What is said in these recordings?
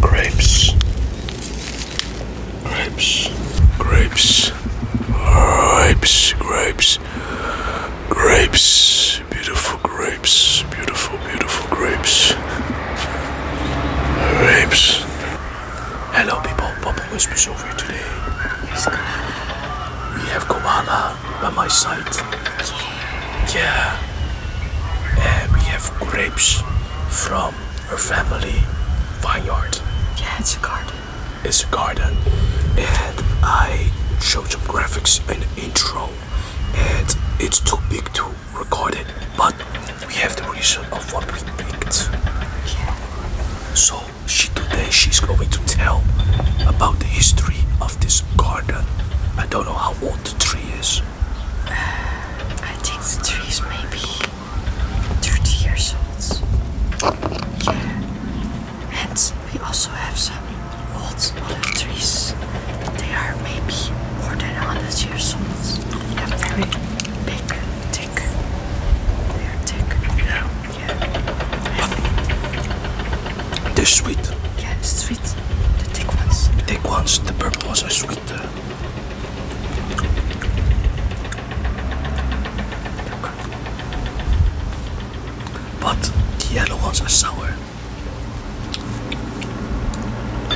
grapes, grapes, grapes, grapes, grapes, grapes, beautiful grapes, beautiful, beautiful grapes, grapes. Hello, people. Papa Whispers over here today. We have Koala by my side. Yeah. Uh, we have grapes from her family vineyard. Yeah, it's a garden. It's a garden. And I showed some graphics in the intro. And it's too big to record it. But we have the reason of what we picked. Yeah. So she today she's going to tell about the history of this garden. I don't know how the tree is? Uh, I think the tree is maybe 30 years old. Yeah. And we also have some old olive trees. They are maybe more than 100 years old. They're very big, thick. They're thick. Yeah. yeah. They're sweet. Yeah, sweet. The thick ones. The thick ones, the purple ones are sweet. Uh. But the yellow ones are sour. Oh,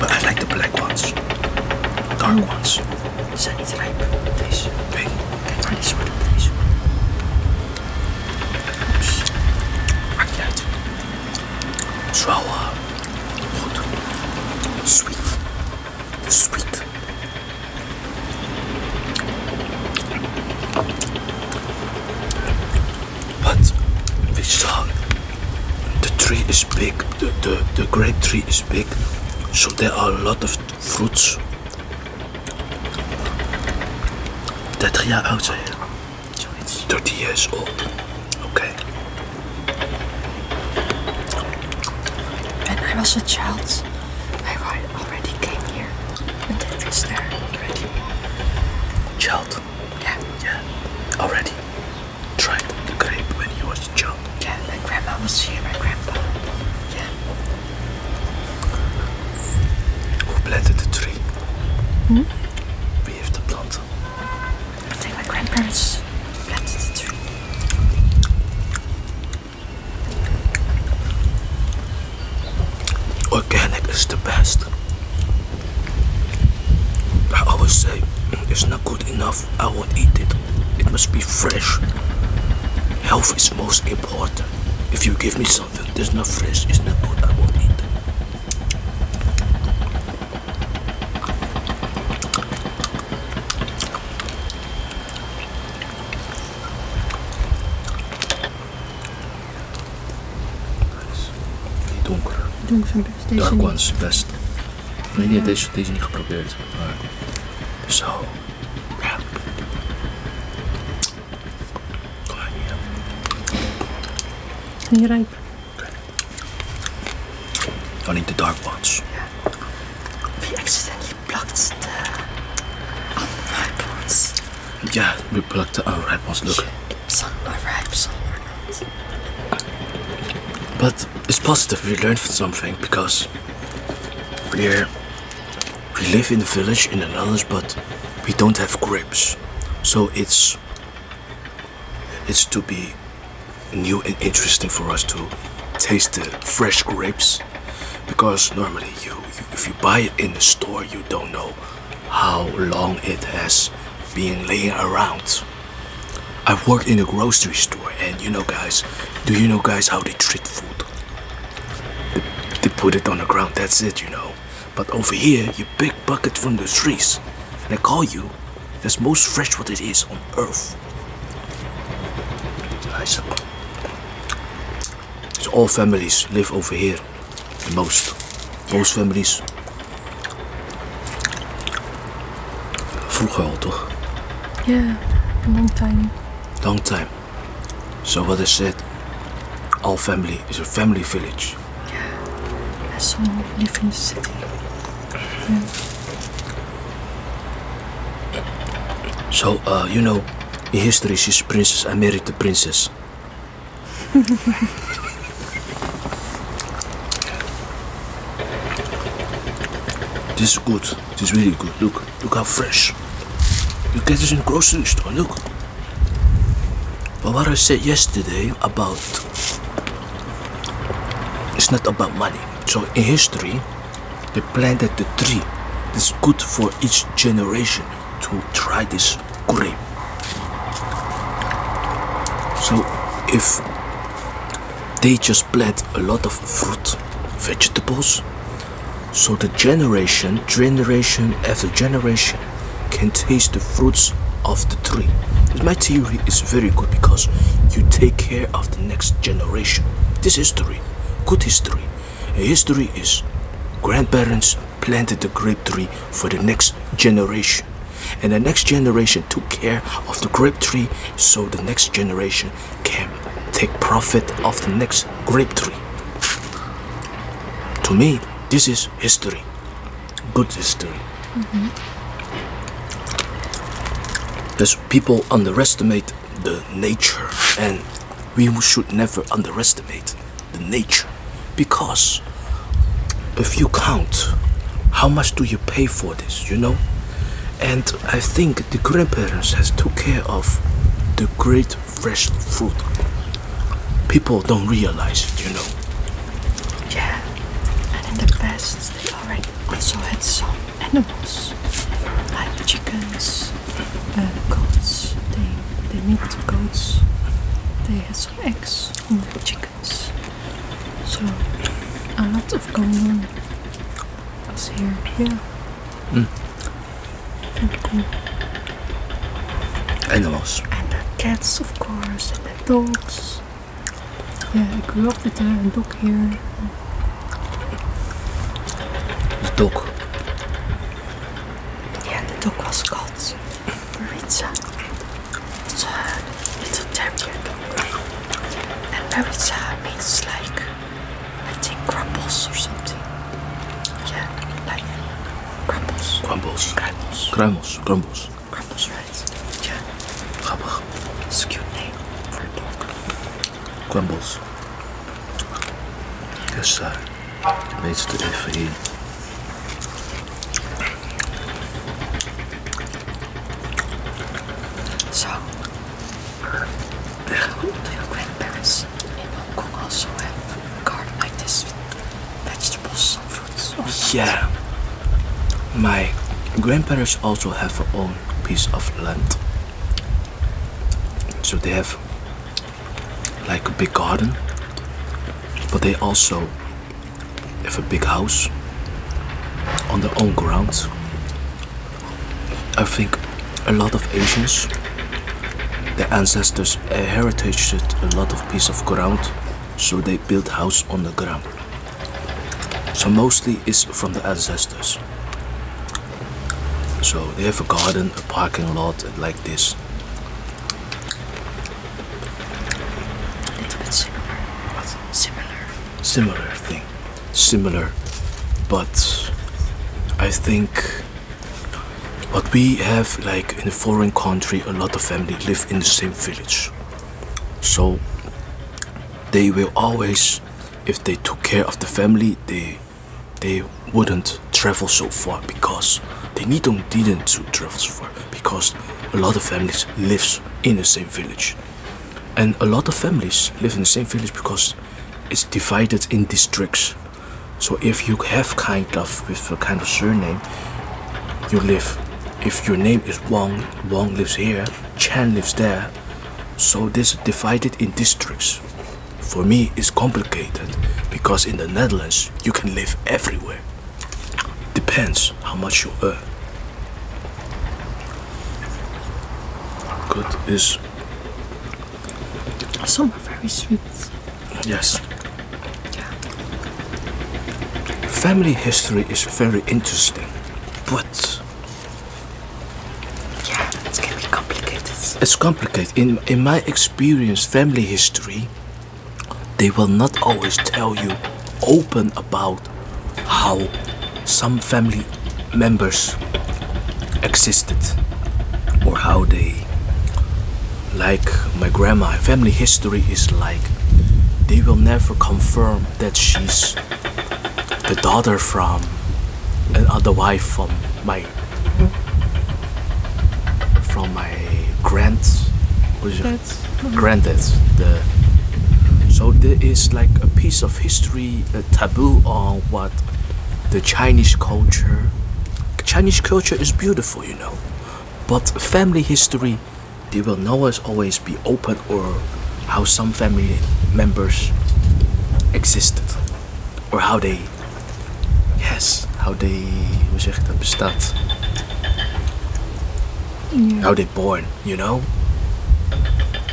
but I like the black ones. Dark ones. So I need to make this big, really short of this. Oops. I get sour, sweet, sweet. But we saw the tree is big. the, the, the grape tree is big, so there are a lot of fruits that yeah, I would say 30 years old. Okay. When I was a child, I already came here, and it was there already. Child? Yeah. Yeah. Already. tried the grape when he was young. Yeah, my grandma was here, my grandpa. Yeah. Who planted the tree? Hmm? We have to plant. I Take my grandparents planted the tree. Organic is the best. I always say mm, it's not good enough. I won't eat it. It must be fresh. Health is most important. If you give me something that's not fresh, it's not good, I won't eat it. Donker. Donker zijn best. Dark one's best. Maar nee, deze, deze niet geprobeerd. Maar... Zo. Ja. Oh, niet rijp. Okay. Only the dark ones. Yeah. We accidentally plucked the unripe ones. Ja, we plucked the oh, unripe ones. Look. Yeah, some oh, ripe, some But it's positive we learned something because we we live in the village in another, but we don't have grapes, so it's it's to be new and interesting for us to taste the fresh grapes because normally you if you buy it in the store you don't know how long it has been laying around I've worked in a grocery store and you know guys, do you know guys how they treat food? They, put it on the ground, that's it, you know. But over here, you pick buckets from the trees and I call you, that's most fresh what it is on earth. It's nice. So all families live over here, the most. Most families Vroeger al, toch? Ja, yeah, long time. Long time. So what I said, all family is a family village. Yeah, and some live in the city. So, uh, you know, in history she's princess, I married the princess. this is good. This is really good. Look, look how fresh. You get this in grocery store. Look. But what I said yesterday about it's not about money. So in history, they planted the tree. It's good for each generation to try this curry. So if they just plant a lot of fruit, vegetables, so the generation, generation after generation can taste the fruits of the tree. My theory is very good because you take care of the next generation. This history, good history. history is grandparents, planted the grape tree for the next generation. And the next generation took care of the grape tree so the next generation can take profit of the next grape tree. To me, this is history. Good history. Mm mm-hmm. Because people underestimate the nature and we should never underestimate the nature because if you count how much do you pay for this you know and i think the grandparents has took care of the great fresh fruit people don't realize it you know yeah and in the past they already also had some animals like chickens uh, goats they they need goats they had eggs and chickens. So a lot of going on as here. Yeah. Mm. Very Animals. And the cats of course and the dogs. Yeah, ik grew up with dog here. The dog. Yeah, the dog was called. Maritza said it's a terrier and Maritza means like I think crumples or something yeah like crumples crumbles crumbles crumbles crumbles crumbles right yeah crumbles it's cute name for a dog crumbles yes sir needs to FE. So, little grandparents in Hong Kong also have garden like this. Vegetables, fruits. Yeah. My grandparents also have their own piece of land. So they have like a big garden, but they also have a big house on their own grounds. I think a lot of Asians, their ancestors inherited uh, a lot of piece of ground, so they built house on the ground. So mostly is from the ancestors. So they have a garden, a parking lot like this. A little bit similar. Similar. Similar thing. Similar. But I think what we have like in a foreign country a lot of family live in the same village. So they will always if they took care of the family they they wouldn't travel so far because they need them didn't to travel so far because a lot of families lives in the same village and a lot of families live in the same village because it's divided in districts so if you have kind of with a kind of surname you live if your name is Wang Wang lives here Chan lives there so this is divided in districts for me, it's complicated because in the Netherlands, you can live everywhere. Depends how much you earn. Good is. Some are very sweet. Yes. Family history is very interesting, but. Yeah, it's going complicated. It's complicated in, in my experience, family history, they will not always tell you open about how some family members existed or how they like my grandma family history is like they will never confirm that she's the daughter from another wife from my from my grants, granted, mm-hmm. so there is like a piece of history, a taboo on what the Chinese culture. Chinese culture is beautiful, you know, but family history, they will not always, always be open or how some family members existed or how they Yes, how they, hoe zeg ik dat, How they born, you know?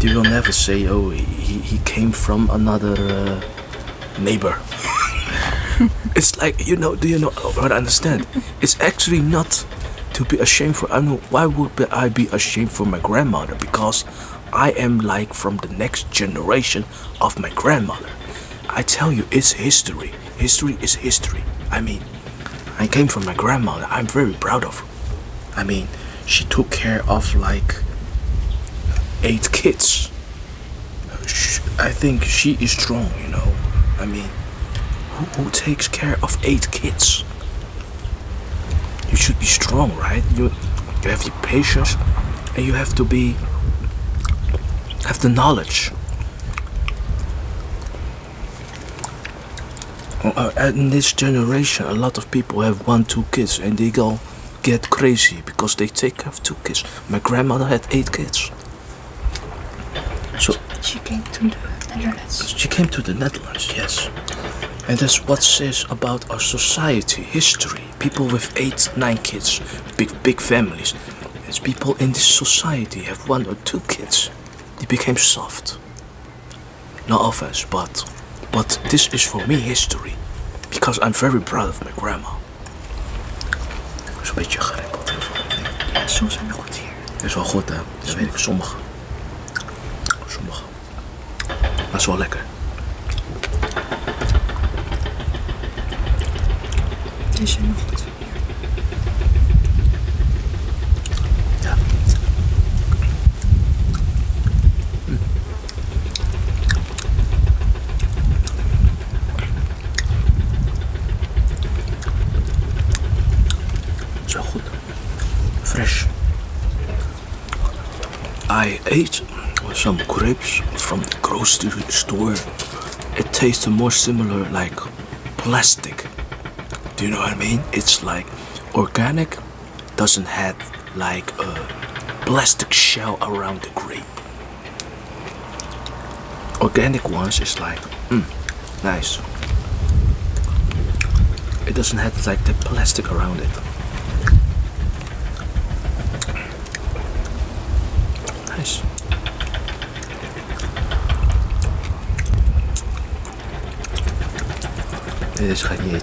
You will never say, oh, he, he came from another uh, neighbor. it's like, you know, do you know oh, what I understand? It's actually not to be ashamed for, I know, why would I be ashamed for my grandmother? Because I am like from the next generation of my grandmother. I tell you, it's history. History is history. I mean, I came from my grandmother. I'm very proud of I mean, she took care of like eight kids. I think she is strong, you know. I mean, who takes care of eight kids? you should be strong right you you have the patience and you have to be have the knowledge uh, uh, in this generation a lot of people have one two kids and they go get crazy because they take care of two kids my grandmother had eight kids so she came to the Netherlands she came to the Netherlands yes and that's what says about our society, history. People with eight, nine kids, big, big families. As people in this society have one or two kids, they became soft. No offense, but, but this is for me history. Because I'm very proud of my grandma. Zo'n beetje gerimpeld heel we goed hier. is wel goed hè, dat weet ik. Sommigen. Sommigen. Dat is wel lekker. Is je nog hm. goed? Ja. Zo goed. fresh. I ate some grapes from the grocery store. It tasted more similar like plastic. Do you know what I mean? It's like organic, doesn't have like a plastic shell around the grape. Organic ones is like, mm, nice. It doesn't have like the plastic around it. Nice. ga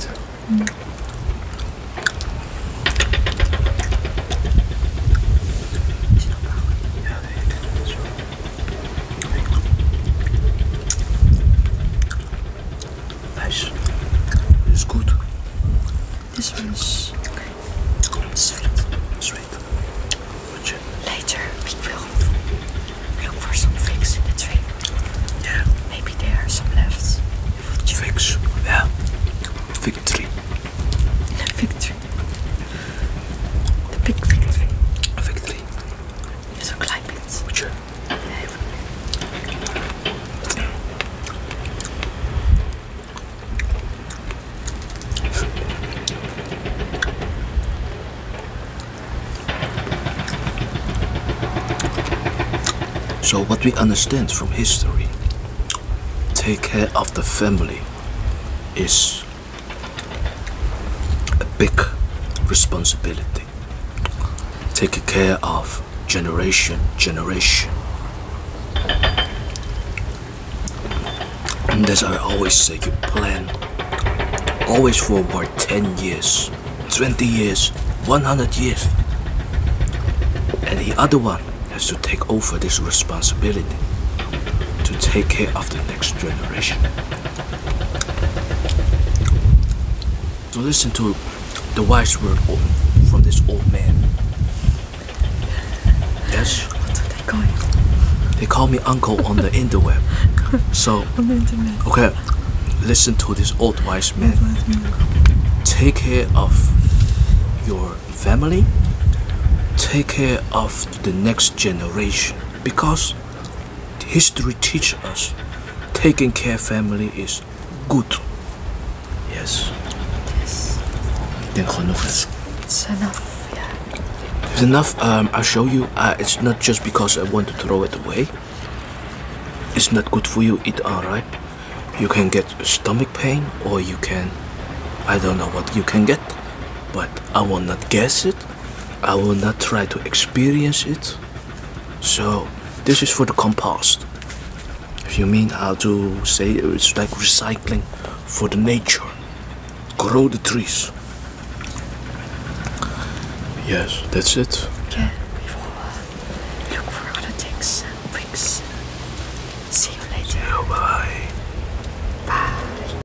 Nice. This is good. This one is okay. Sweet. Sweet. What you? Later we will look for some figs in the tree. Yeah. Maybe there are some left. Figs. Yeah. Fig tree. Fig tree. The big fig Victory. A fig tree. It's a climate. What so what we understand from history, take care of the family is a big responsibility. Take care of generation, generation. And as I always say, you plan always forward 10 years, 20 years, 100 years. And the other one has to take over this responsibility to take care of the next generation. So listen to the wise word from this old man. Yes? What are they calling? They call me uncle on the interweb. So, okay, listen to this old wise man. Take care of your family. Take care of the next generation. Because history teaches us taking care family is good. Yes. Yes. Then enough. It's, enough. Yeah. enough. Um, i show you. Uh, it's not just because I want to throw it away. It's not good for you. It alright. You can get stomach pain, or you can. I don't know what you can get, but I will not guess it. I will not try to experience it. So this is for the compost. If you mean how to say it's like recycling for the nature. Grow the trees. Yes, that's it. Yeah, we will uh, look for other things and bricks. See you later. Bye. Bye.